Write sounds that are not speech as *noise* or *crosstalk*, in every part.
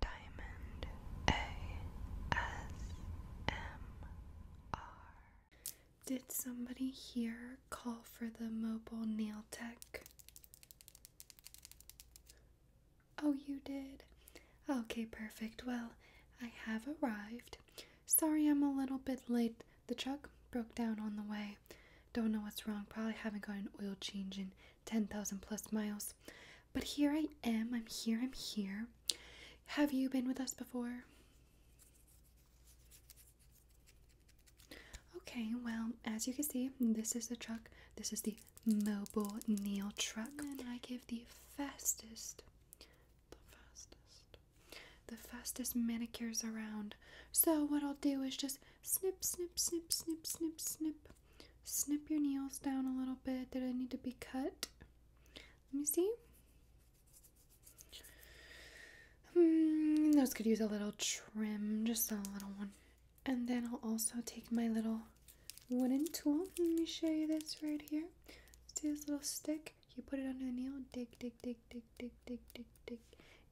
Diamond ASMR. Did somebody here call for the mobile nail tech? Oh, you did. Okay, perfect. Well, I have arrived. Sorry I'm a little bit late. The truck broke down on the way. Don't know what's wrong. Probably haven't got an oil change in 10,000 plus miles. But here I am. I'm here. I'm here. Have you been with us before? Okay, well, as you can see, this is the truck. This is the mobile nail truck. I give the fastest, the fastest, the fastest manicures around. So what I'll do is just snip, snip, snip, snip, snip, snip snip your nails down a little bit that I need to be cut. Let me see. Hmm, those could use a little trim, just a little one. And then I'll also take my little wooden tool. Let me show you this right here. See this little stick? You put it under the nail, dig, dig, dig, dig, dig, dig, dig,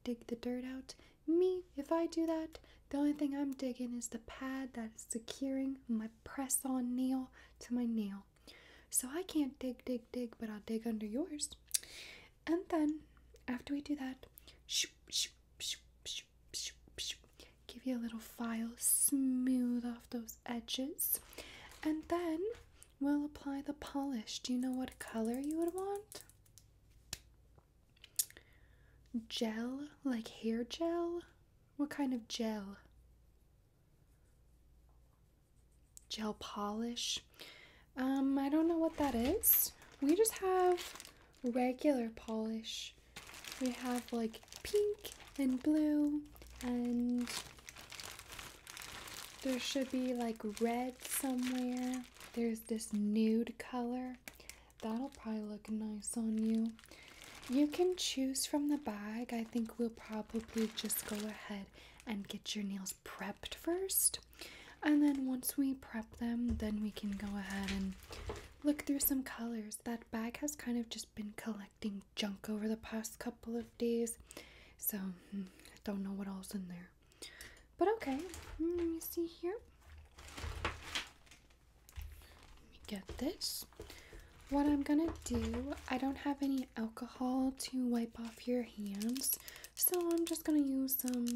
dig the dirt out. Me, if I do that, the only thing I'm digging is the pad that is securing my press on nail to my nail. So I can't dig, dig, dig, but I'll dig under yours. And then after we do that, give you a little file, smooth off those edges. And then we'll apply the polish. Do you know what color you would want? Gel? Like hair gel? What kind of gel? Gel polish? Um, I don't know what that is. We just have regular polish. We have like pink and blue and there should be like red somewhere. There's this nude color. That'll probably look nice on you. You can choose from the bag. I think we'll probably just go ahead and get your nails prepped first. And then once we prep them, then we can go ahead and look through some colors. That bag has kind of just been collecting junk over the past couple of days. So, hmm, I don't know what all's in there. But okay, hmm, let me see here. Let me get this. What I'm gonna do, I don't have any alcohol to wipe off your hands, so I'm just gonna use some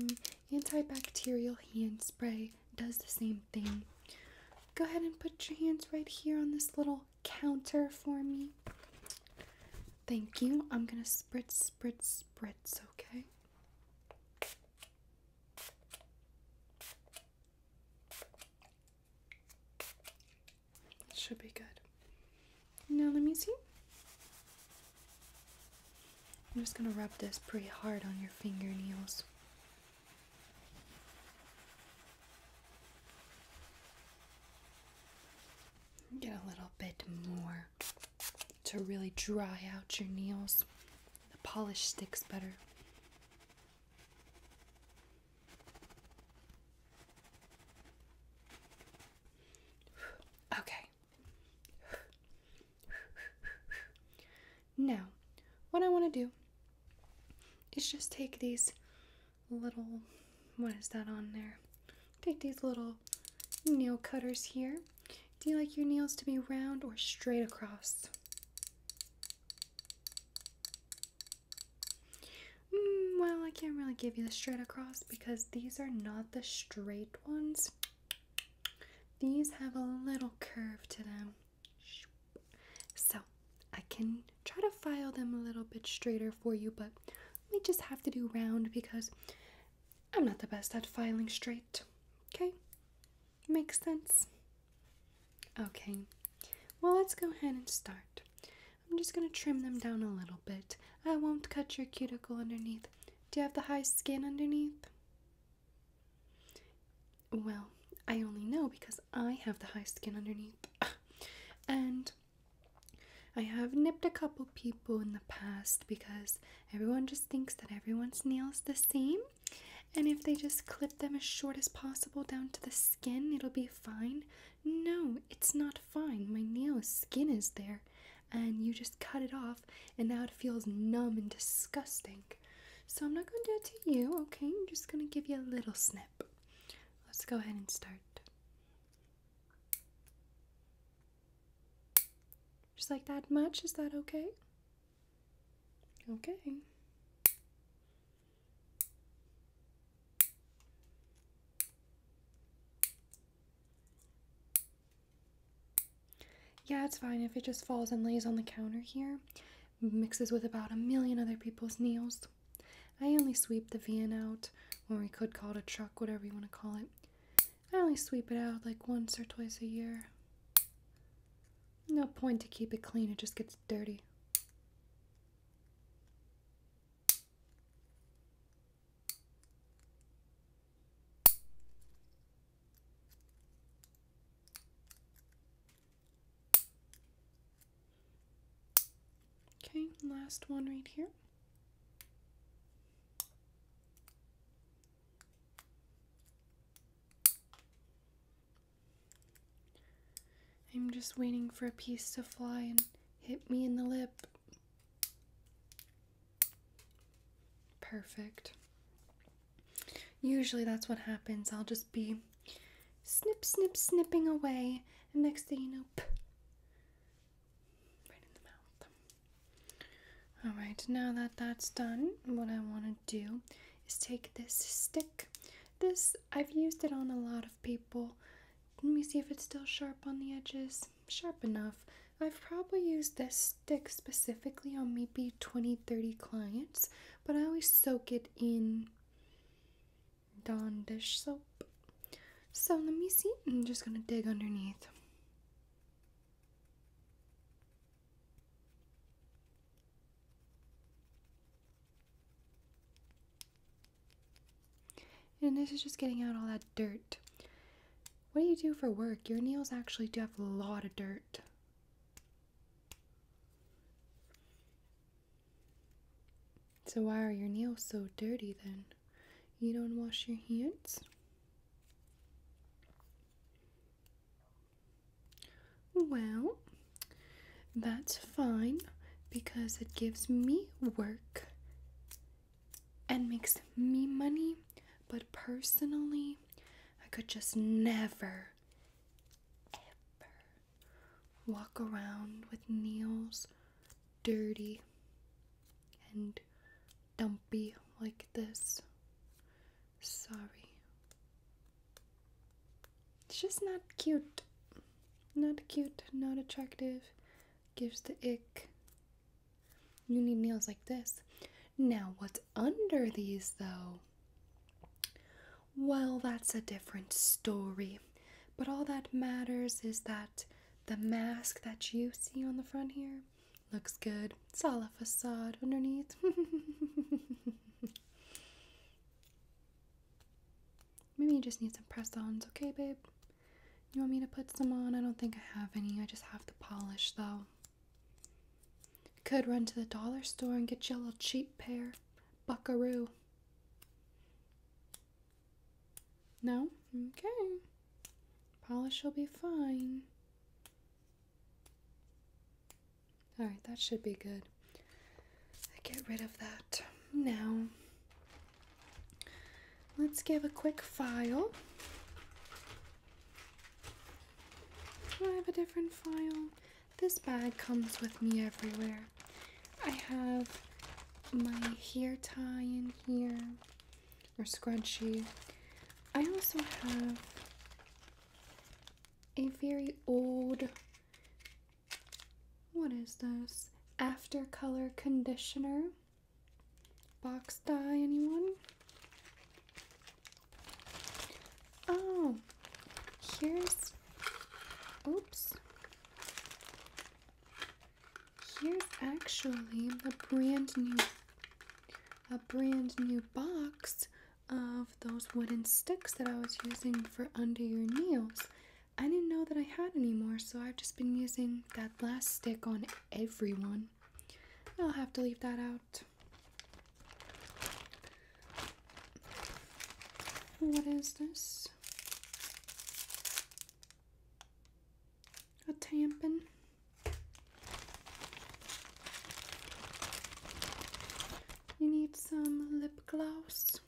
antibacterial hand spray. does the same thing. Go ahead and put your hands right here on this little counter for me. Thank you. I'm gonna spritz, spritz, spritz, okay? Should be good. Now let me see. I'm just gonna rub this pretty hard on your fingernails. Get a little bit more to really dry out your nails. The polish sticks better. *sighs* Okay. Now, what I want to do is just take these little, what is that on there? Take these little nail cutters here. Do you like your nails to be round or straight across? Mm, well, I can't really give you the straight across because these are not the straight ones. These have a little curve to them. So I can try to file them a little bit straighter for you, but we just have to do round because I'm not the best at filing straight. Okay? Makes sense? Okay, well, let's go ahead and start. I'm just gonna trim them down a little bit. I won't cut your cuticle underneath. Do you have the high skin underneath? Well, I only know because I have the high skin underneath. *laughs* and I have nipped a couple people in the past because everyone just thinks that everyone's nails the same and if they just clip them as short as possible down to the skin, it'll be fine. No, it's not fine. My Neo's skin is there, and you just cut it off, and now it feels numb and disgusting. So I'm not going to do it to you, okay? I'm just going to give you a little snip. Let's go ahead and start. Just like that much, is that okay? Okay. Yeah, it's fine if it just falls and lays on the counter here. Mixes with about a million other people's nails. I only sweep the van out, when we could call it a truck, whatever you want to call it. I only sweep it out like once or twice a year. No point to keep it clean, it just gets dirty. Okay, last one right here. I'm just waiting for a piece to fly and hit me in the lip. Perfect. Usually that's what happens. I'll just be snip, snip, snipping away, and next thing you know, right in the mouth. All right, now that that's done, what I want to do is take this stick. This, I've used it on a lot of people. Let me see if it's still sharp on the edges. Sharp enough. I've probably used this stick specifically on maybe twenty, thirty clients, but I always soak it in Dawn dish soap. So let me see. I'm just going to dig underneath. And this is just getting out all that dirt. What do you do for work? Your nails actually do have a lot of dirt. So why are your nails so dirty then? You don't wash your hands? Well, that's fine because it gives me work and makes me money, but personally, I could just never, ever walk around with nails dirty and dumpy like this. Sorry. It's just not cute. Not cute, not attractive. Gives the ick. You need nails like this. Now, what's under these though? Well, that's a different story. But all that matters is that the mask that you see on the front here Looks good. It's all a facade underneath. *laughs* Maybe you just need some press ons, okay, babe? You want me to put some on? I don't think I have any. I just have the polish, though. Could run to the dollar store and get you a little cheap pair. Buckaroo. No? Okay. Polish will be fine. All right, that should be good. Get rid of that now. Let's give a quick file. I have a different file. This bag comes with me everywhere. I have my hair tie in here, or scrunchie. I also have a very old, what is this? After Color Conditioner. Box dye, anyone? Oh, here's, oops. Here's actually the brand new a brand new box of those wooden sticks that I was using for under your nails. I didn't know that I had any more, so I've just been using that last stick on everyone. I'll have to leave that out. What is this? A tampon. You need some lip gloss.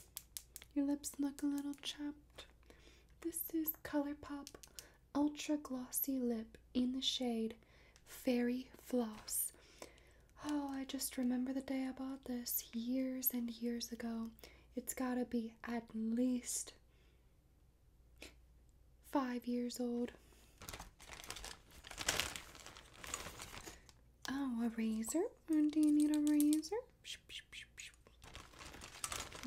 Your lips look a little chapped. This is ColourPop Ultra Glossy Lip in the shade Fairy Floss. Oh, I just remember the day I bought this years and years ago. It's gotta be at least five years old. Oh, a razor? Hmm, do you need a razor?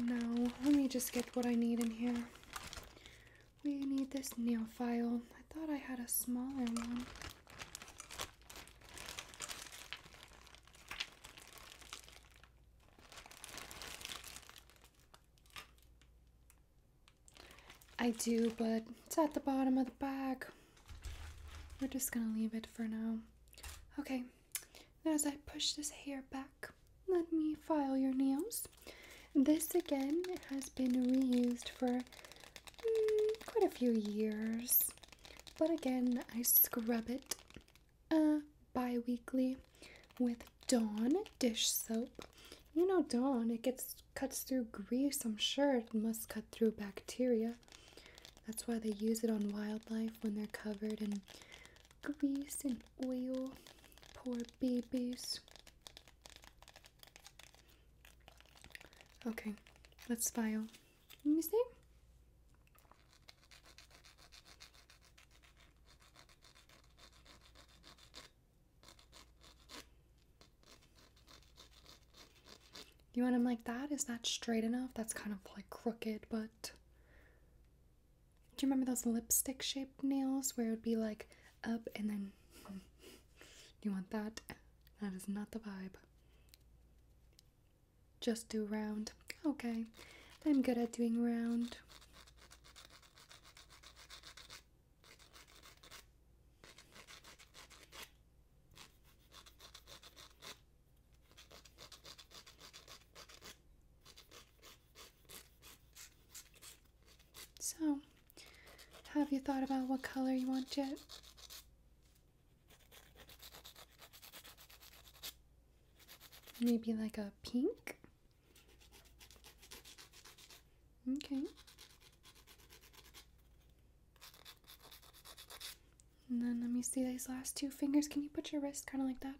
No, let me just get what I need in here. We need this nail file. I thought I had a smaller one. I do, but it's at the bottom of the bag. We're just gonna leave it for now. Okay, as I push this hair back, let me file your nails. This again has been reused for mm, quite a few years. But again, I scrub it uh, bi-weekly with Dawn dish soap you know, Dawn, it gets cuts through grease, I'm sure it must cut through bacteria. That's why they use it on wildlife when they're covered in grease and oil. Poor babies. Okay, let's file. Let me see. You want them like that? Is that straight enough? That's kind of like crooked, but. Do you remember those lipstick shaped nails where it would be like up and then. *laughs* you want that? That is not the vibe. Just do round. Okay. I'm good at doing round. So, have you thought about what color you want yet? Maybe like a pink? Okay. And then let me see these last two fingers. Can you put your wrist kind of like that?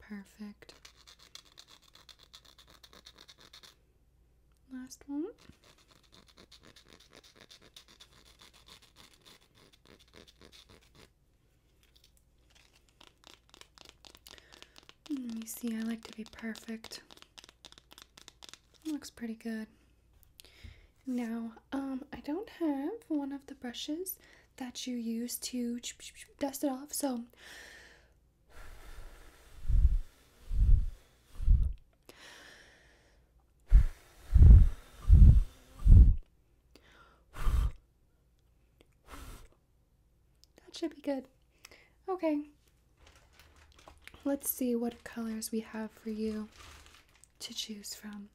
Perfect. Last one. Let me see, I like to be perfect. looks pretty good. Now, um, I don't have one of the brushes that you use to dust it off, so that should be good. Okay. Let's see what colors we have for you to choose from.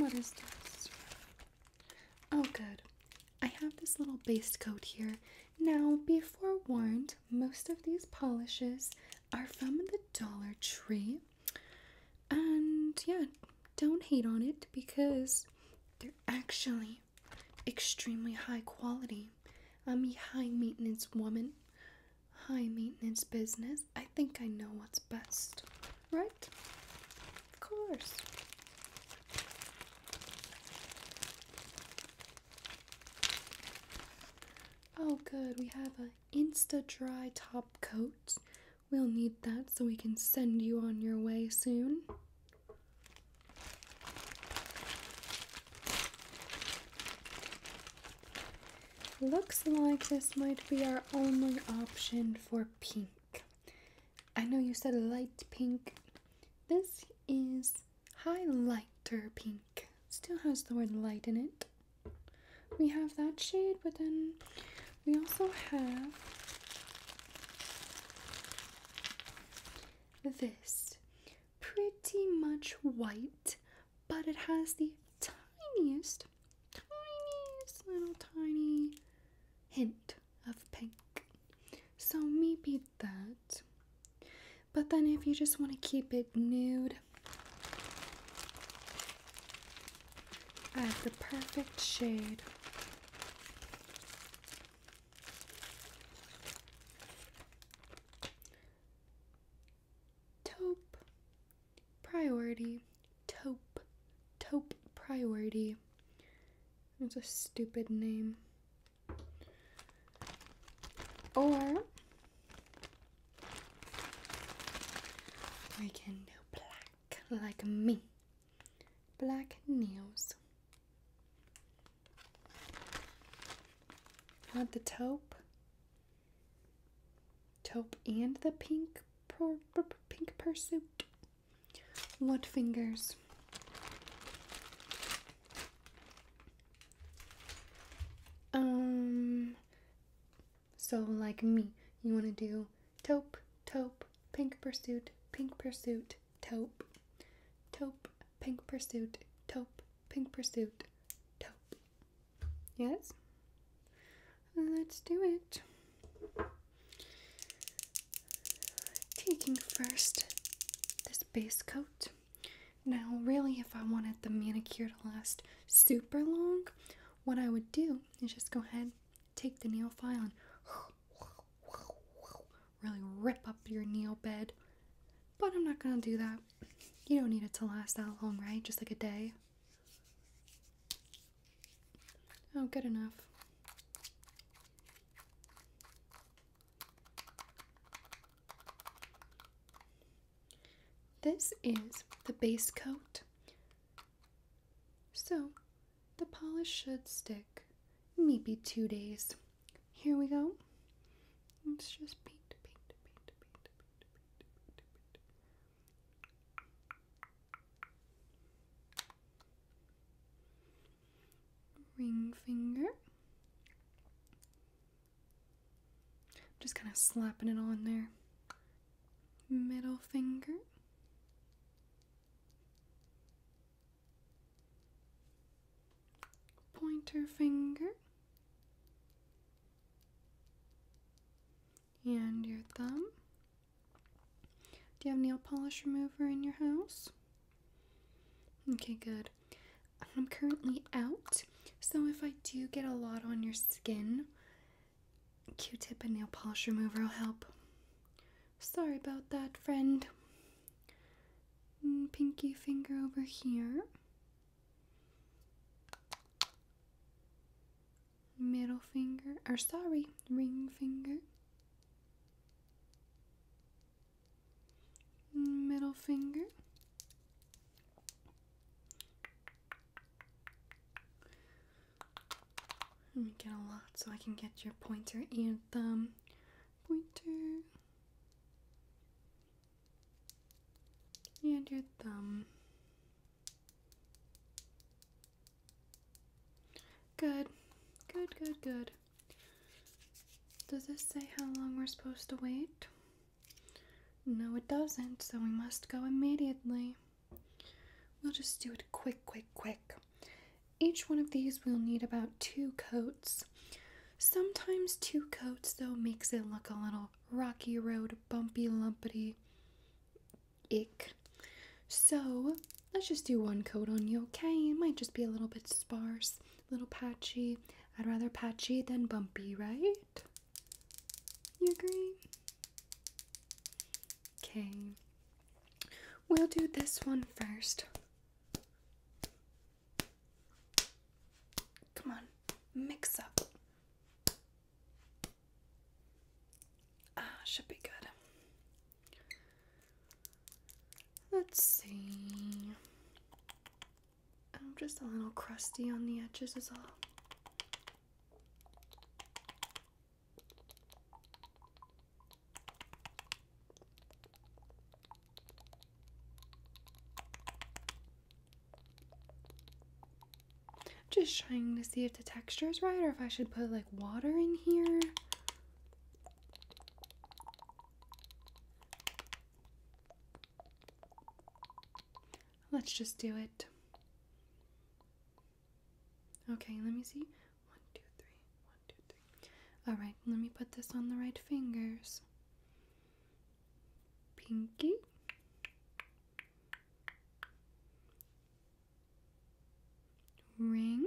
What is this? Oh, good. I have this little base coat here. Now, be forewarned, most of these polishes are from the Dollar Tree. And yeah, don't hate on it because they're actually extremely high quality. I'm a high maintenance woman, high maintenance business. I think I know what's best, right? Of course. Oh, good, we have a Insta Dry Top Coat. We'll need that so we can send you on your way soon. Looks like this might be our only option for pink. I know you said light pink. This is highlighter pink. Still has the word light in it we have that shade, but then we also have this pretty much white, but it has the tiniest, tiniest little tiny hint of pink. So maybe that. But then if you just want to keep it nude I have the perfect shade. Taupe priority. Taupe. Taupe priority. It's a stupid name. Or I can do black like me. Black nails. Want the taupe? Taupe and the pink per, pink pursuit. What fingers? Um, so, like me, you want to do taupe, taupe, pink pursuit, pink pursuit, taupe, taupe, pink pursuit, taupe, pink pursuit, taupe. Yes? Let's do it. Taking first this base coat now, really, if I wanted the manicure to last super long, what I would do is just go ahead, take the nail file, and really rip up your nail bed. But I'm not gonna do that. You don't need it to last that long, right? Just like a day. Oh, good enough. This is the base coat. So the polish should stick maybe two days. Here we go. let just Ring finger just kind of slapping it on there. Middle finger. Pointer finger. And your thumb. Do you have nail polish remover in your house? Okay, good. I'm currently out, so if I do get a lot on your skin, Q tip and nail polish remover will help. Sorry about that, friend. Mm, pinky finger over here. Middle finger, or sorry, ring finger. Mm, middle finger. Let me get a lot so I can get your pointer and thumb. Pointer. And your thumb. Good. Good, good, good. Does this say how long we're supposed to wait? No, it doesn't, so we must go immediately. We'll just do it quick, quick, quick. Each one of these will need about two coats. Sometimes two coats, though, makes it look a little rocky road, bumpy, lumpity. Ick. So, let's just do one coat on you, okay? It might just be a little bit sparse, a little patchy. I'd rather patchy than bumpy, right? You agree? Okay. We'll do this one first. Come on, mix up. Ah, should be good. Let's see. I'm just a little crusty on the edges, is all. Just trying to see if the texture is right or if I should put like water in here. Let's just do it. Okay, let me see. One, two, three. One, two, three. Alright, let me put this on the right fingers. Pinky. Ring.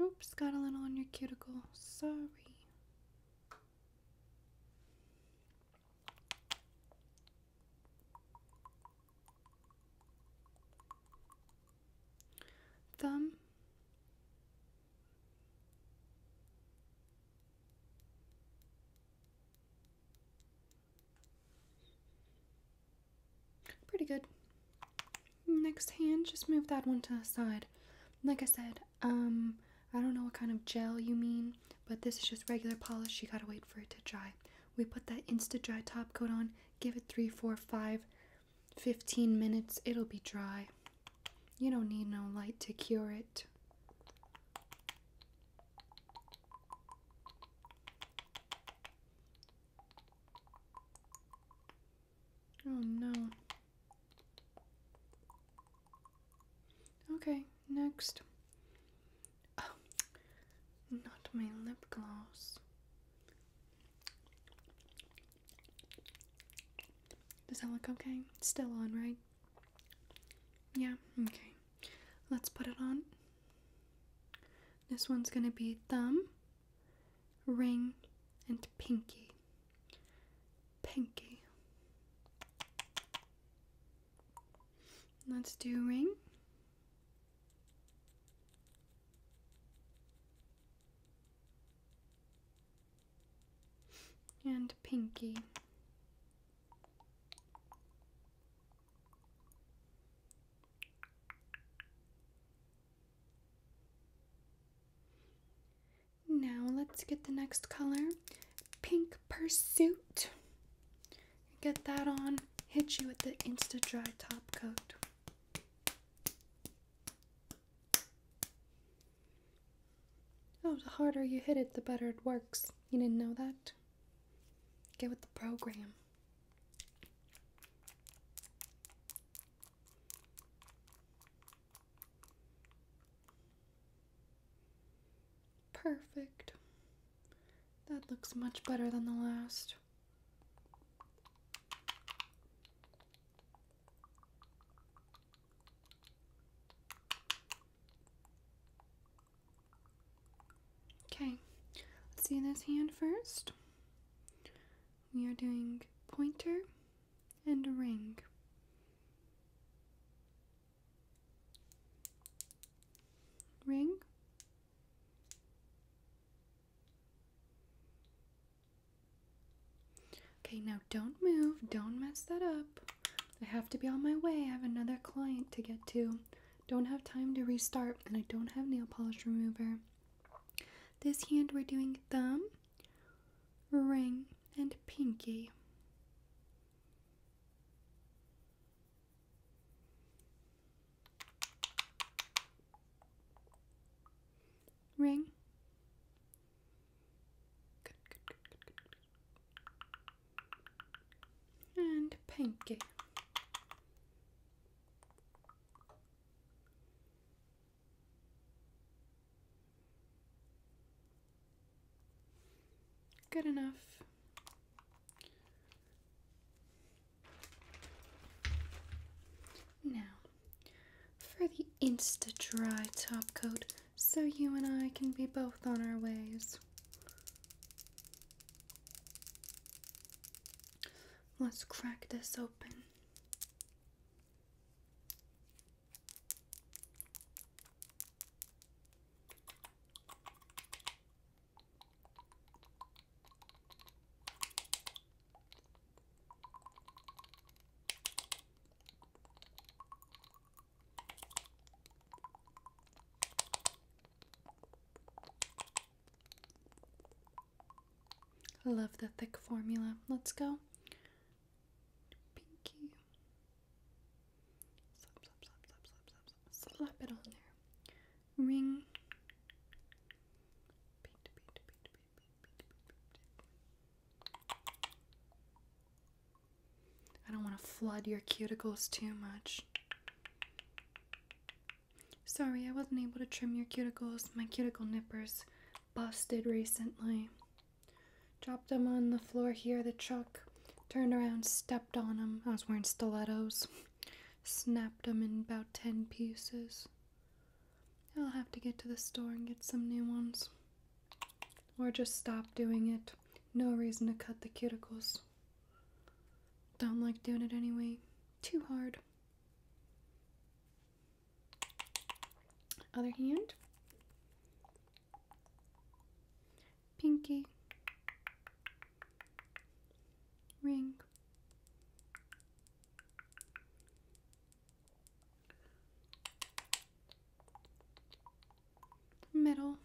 Oops, got a little on your cuticle. Sorry. Thumb. Pretty good. Next hand, just move that one to the side. Like I said, um, I don't know what kind of gel you mean, but this is just regular polish. You gotta wait for it to dry. We put that Insta Dry top coat on, give it three, four, five, fifteen minutes. It'll be dry. You don't need no light to cure it. Oh no. Okay, next. Oh, not my lip gloss. Does that look okay? still on, right? Yeah, okay. Let's put it on. This one's gonna be thumb, ring, and pinky. Pinky. Let's do ring. And pinky. Now let's get the next color, Pink Pursuit. Get that on, hit you with the Insta Dry Top Coat. Oh, the harder you hit it, the better it works. You didn't know that? Get with the program. Perfect. That looks much better than the last. Okay, let's see this hand first. We are doing pointer and a ring. Ring. Okay, now don't move. Don't mess that up. I have to be on my way. I have another client to get to. Don't have time to restart, and I don't have nail polish remover. This hand, we're doing thumb ring, and pinky. Ring. And pinky. Good enough. Now, for the Insta-Dry top coat, so you and I can be both on our ways. Let's crack this open. Love the thick formula. Let's go pinky. Slap, slap, slap, slap, slap, slap, slap. it on there. Ring. I don't want to flood your cuticles too much. Sorry, I wasn't able to trim your cuticles. My cuticle nippers busted recently. Dropped them on the floor here, the truck. Turned around, stepped on them. I was wearing stilettos. Snapped them in about 10 pieces. I'll have to get to the store and get some new ones. Or just stop doing it. No reason to cut the cuticles. Don't like doing it anyway. Too hard. Other hand. Pinky. Ring. Middle.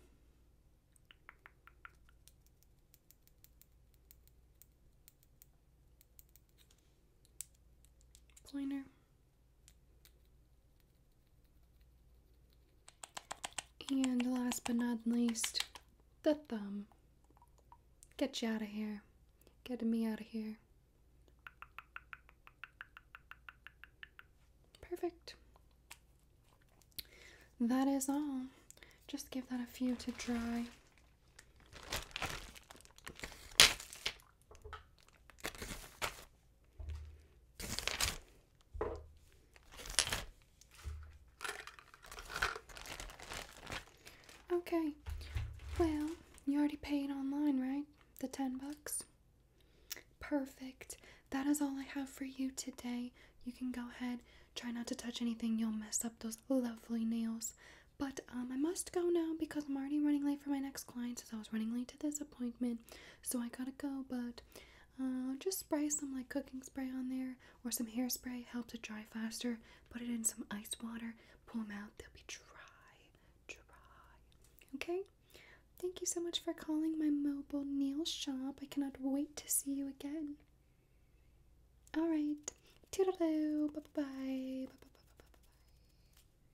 Pointer. And last but not least, the thumb. Get you out of here. Get me out of here. Perfect. That is all. Just give that a few to dry. Okay. Well, you already paid online, right? The 10 bucks. Perfect. That is all I have for you today. You can go ahead. Try not to touch anything. You'll mess up those lovely nails. But um, I must go now because I'm already running late for my next client since I was running late to this appointment appointment, so I gotta go. But uh, just spray some like cooking spray on there or some hairspray, helps it dry faster. Put it in some ice water, pull them out, they'll be dry, dry. Okay, thank you so much for calling my mobile nail shop. I cannot wait to see you again. All right, toodaloo, bye bye bye bye bye bye bye bye.